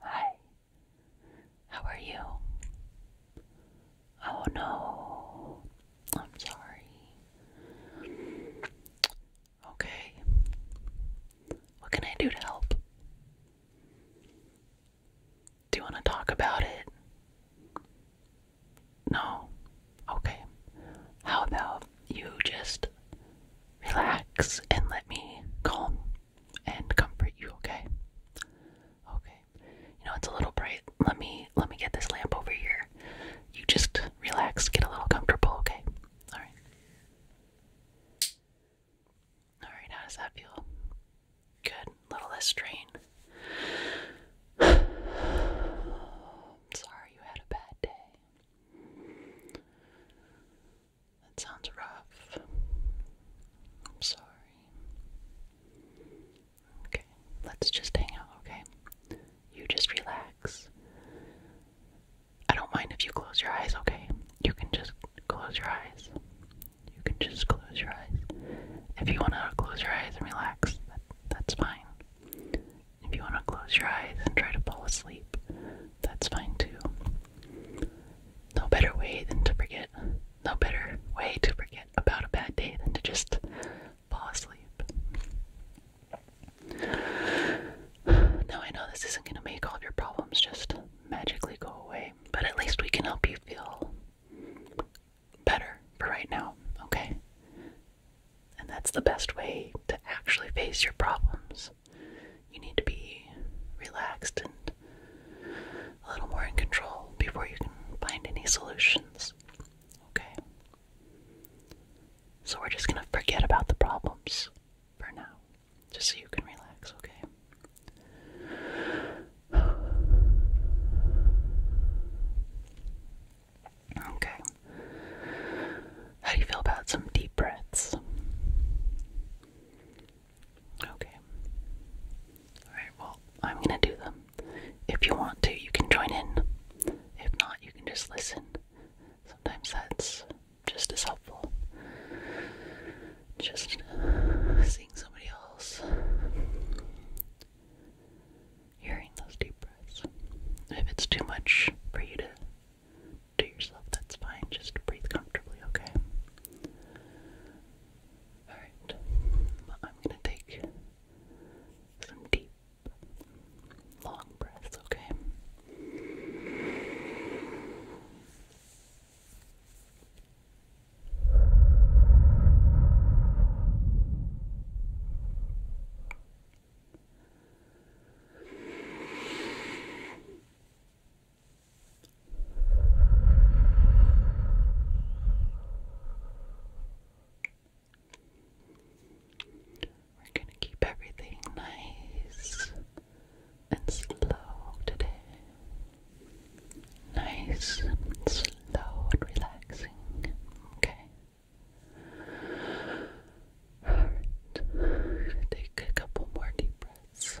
Hi, how are you? Oh no, I'm sorry. Okay, what can I do to help? Do you want to talk about it? No? Okay. How about you just relax and let me calm and comfort you, okay? Okay. You know it's a little bright. Let me let me get this lamp over here. You just relax, get a little comfortable, okay? Alright. Alright, how does that feel? Good. A little less strain. sorry you had a bad day. That sounds rough. I'm sorry. Okay, let's just hang out, okay? You just relax. I don't mind if you close your eyes, okay? You can just close your eyes. You can just close your eyes. If you want to close your eyes and relax, that's fine. If you want to close your eyes and try to fall asleep, that's fine too. No better way than to forget. No better way to forget about a bad day than to just fall asleep. Now, I know this isn't going to make all your problems just magically go away, but at least we can help you feel better for right now, okay? And that's the best way to actually face your problems you need to be relaxed and a little more in control before you can find any solutions. Okay? So we're just gonna forget about the problems for now, just so you can relax, okay? Okay. How do you feel about some deep breaths? Okay. Alright, well, I'm gonna do them. If you want to, you can join in. If not, you can just listen. Sometimes that's just as helpful. Just seeing somebody else. Hearing those deep breaths. If it's too much for you to to yourself, that's fine. Just breathe comfortably, okay? Alright, I'm gonna take some deep, long breaths, okay? We're going to keep everything nice and slow today. Nice and slow and relaxing. Okay. Alright. Take a couple more deep breaths.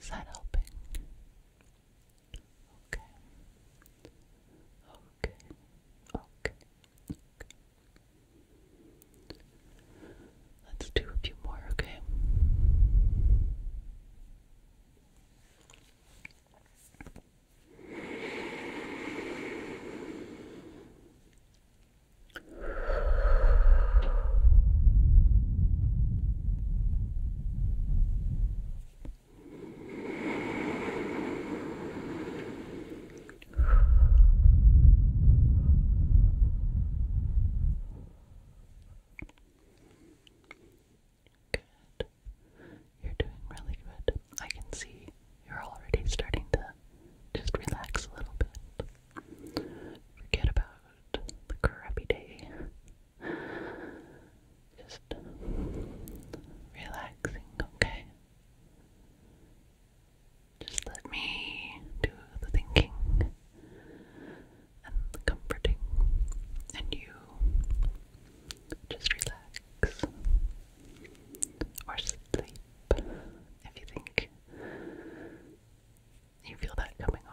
Is that helping? Okay. Okay. Okay. Okay. Let's do a few more, okay? Good. You're doing really good. I can see you're already starting to just relax a little bit. Forget about the crappy day just relaxing, okay? Just let me do the thinking and the comforting, and you just relax or sleep if you think you feel that coming, okay?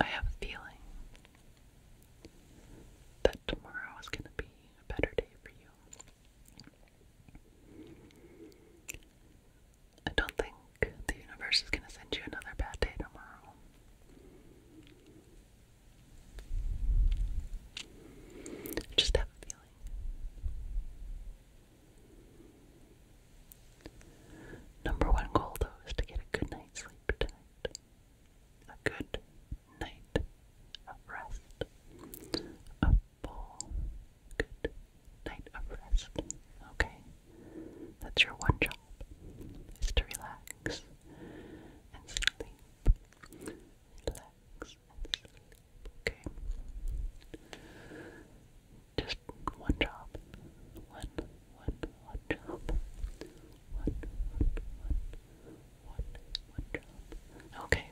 I have a feeling that tomorrow is going to be a better day for you. I don't think the universe is going to send you another bad day tomorrow. just have a feeling. Number one goal, though, is to get a good night's sleep tonight. A good night of rest, full, good night of rest. Okay? That's your one job, is to relax and sleep. Relax and sleep, okay? Just one job. One, one, one job. One, one, one, one, one job. Okay,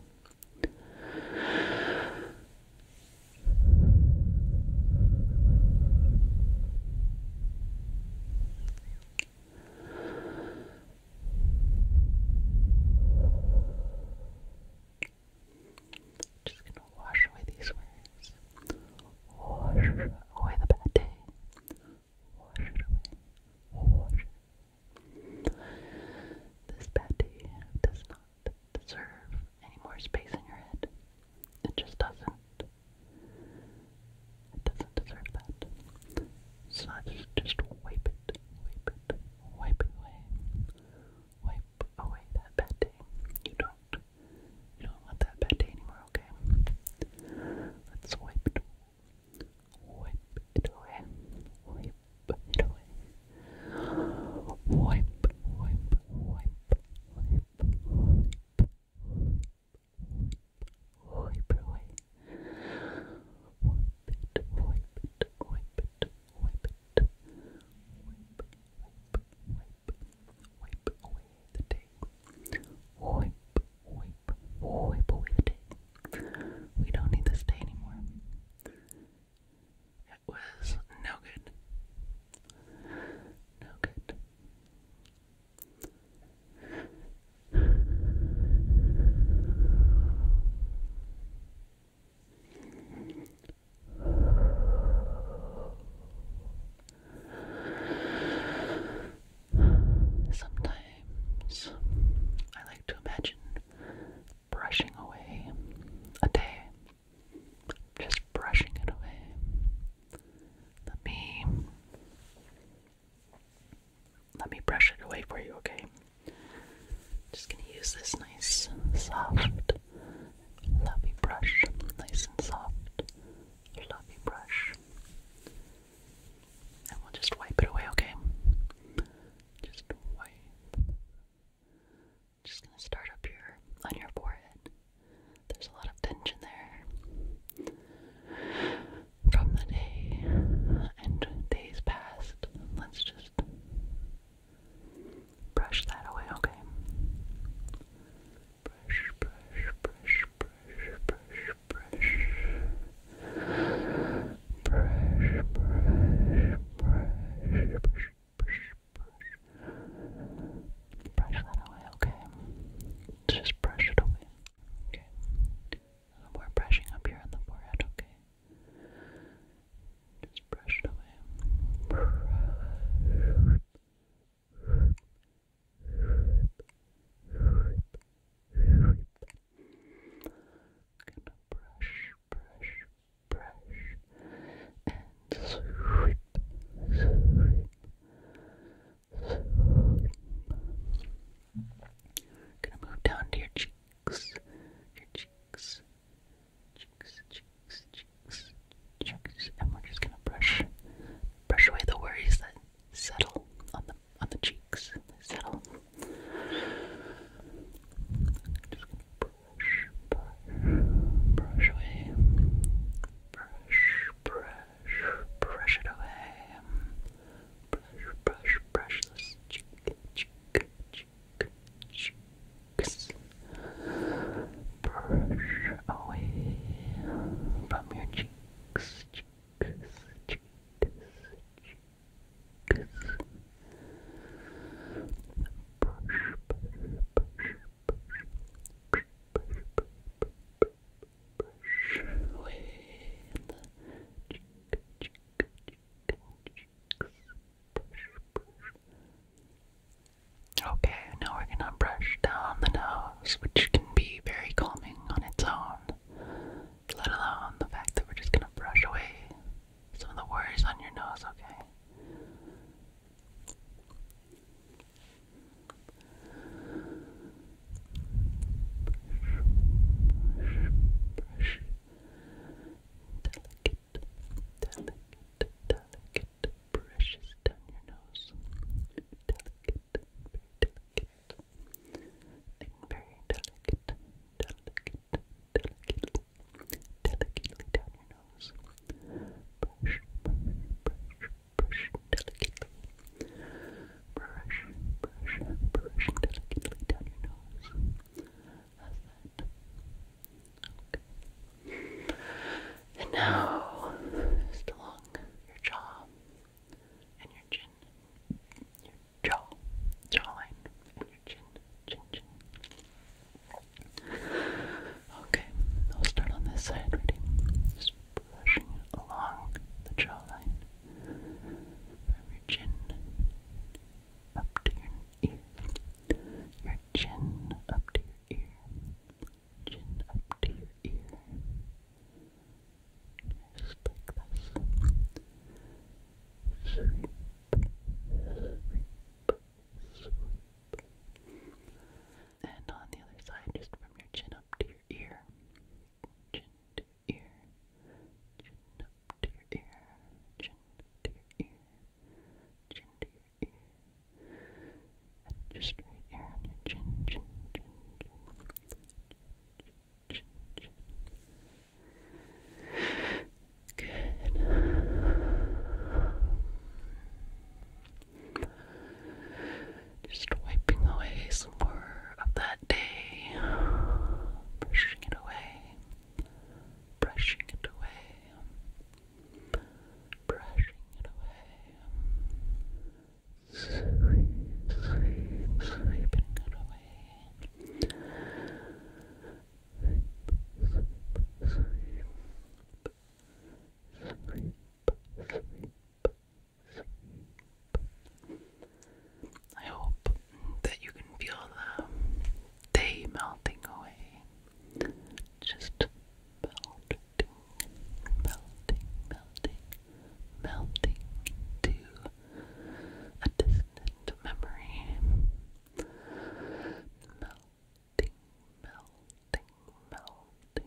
just gonna wash away these words. Wash away the bad day. Wash it away. Wash. This bad day does not deserve any more space in your head. It just doesn't. It doesn't deserve that. So just wipe it, wipe it, wipe it away. Wipe away that bad day. You don't, you don't want that bad day anymore, okay? Let's wipe it, wipe it away, wipe wipe Wipe, wipe, wipe, wipe, wipe, wipe, away. Wipe it, wipe it, wipe it, wipe it. Wipe, wipe, wipe, wipe away the day. Wipe, wipe, wipe away the day. We don't need this day anymore. It was no good. No good. Sometimes I like to imagine brushing away a day, just brushing it away. Let me let me brush it away for you, okay? Just gonna use this nice, soft, lovely brush, nice and soft, lovely brush, and we'll just wipe it away, okay? Just wipe. Just gonna start up your on your forehead. There's a lot of tension there from the day and days past. Let's just brush that away, okay? Brush, brush, brush, brush, brush, brush. Brush, brush, brush, brush brush, that away, okay? just brush it away, okay? we brushing up here on the forehead, okay? Just brush it away. Gonna brush, brush, brush and sweep, sweep, sweep. Gonna move down to your cheeks, your cheeks, cheeks, cheeks, cheeks, cheeks, and we're just gonna brush, brush away the worries that settle on the on the cheeks, settle brush, brush away. Brush, brush, brush it away. Brush, brush, brush this cheek, cheek, cheeks. Brush away from your cheeks, cheeks, cheeks, cheeks. Okay, now we're gonna brush down the nose, which can be very calming on its own. Let alone the fact that we're just gonna brush away some of the worries on your nose, okay? Brush, brush, Delicate, delicate, delicate brushes down your nose. Delicate, delicate, very delicate, delicate, delicately, delicately down your nose. Brush, brush, brush, brush delicately. Brush, brush, brush delicately down your nose. And now, just along your jaw and your chin, jaw, jawline, chin, Okay, I'll start on this side, ready? Just brushing along the jawline from your chin up to your ear. Your chin up to your ear. Chin up to your ear. Just like this. Sweep, sweep, and on the other side, just from your chin up to your ear. Chin to ear. Chin up to your ear. Chin to ear. Chin to ear. And just right here on your chin, chin, chin, chin. Chin, chin, chin. Good. Just wiping away some more of that day. Brushing it away. Brushing it away. Brushing it away. Sweep, sweep, sweeping it away. I hope that you can feel the day melting away. Just melting, melting, melting, melting into a distant memory melting, melting, melting.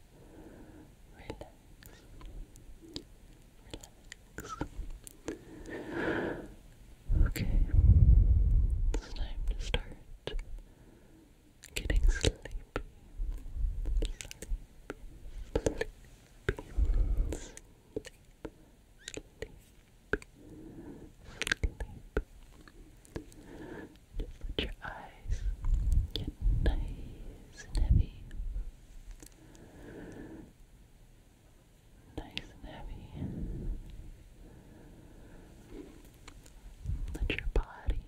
relax, relax. Okay, it's time to start getting sleepy, to let your eyes get nice and heavy. Nice and heavy. Let your body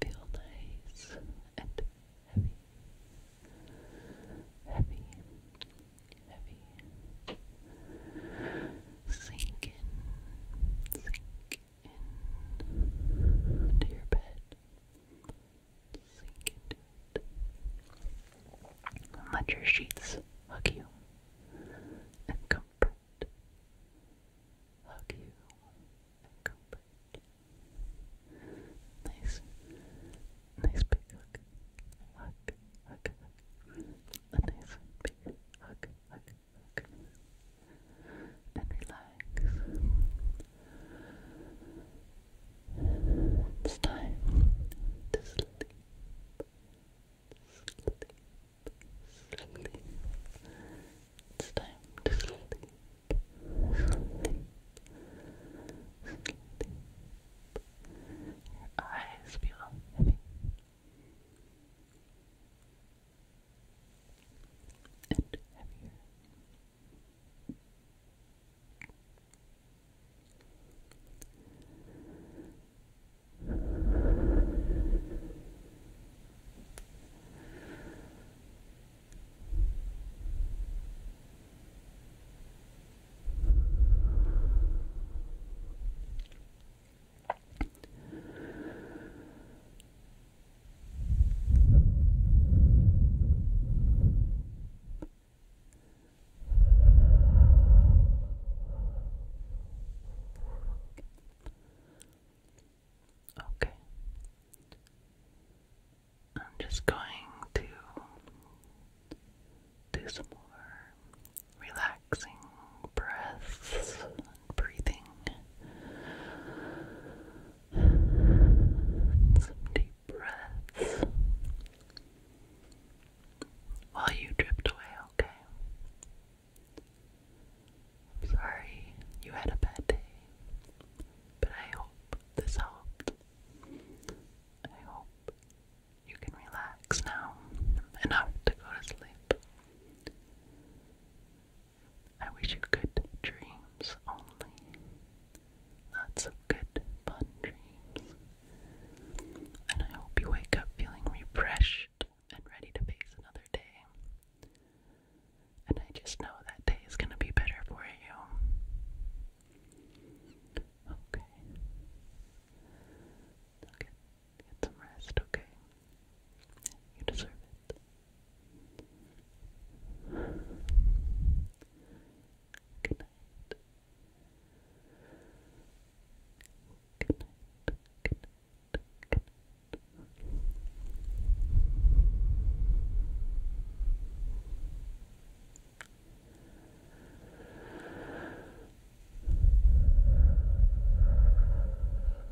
feel nice and heavy. Heavy. Heavy. Sink in. Sink into your bed. Sink it. let your sheets hug you and comfort. Hug you comfort. Nice, nice big hug. Hug, hug, hug. A nice big hug, hug, and relax. It's time to sleep. Sleep, sleep. It's Your eyes feel heavy and heavier. Okay. I'm just going to do some more relaxing breaths breathing. Some deep breaths while you drift away, okay? sorry you had a bad day, but I hope this helped. I hope you can relax now enough to go to sleep. I wish you good dreams only. Lots of good, fun dreams. And I hope you wake up feeling refreshed and ready to face another day. And I just know that day is going to be better for you. Okay. Okay. Get some rest, okay? You deserve it. Good night. Good night. Good night. Good night.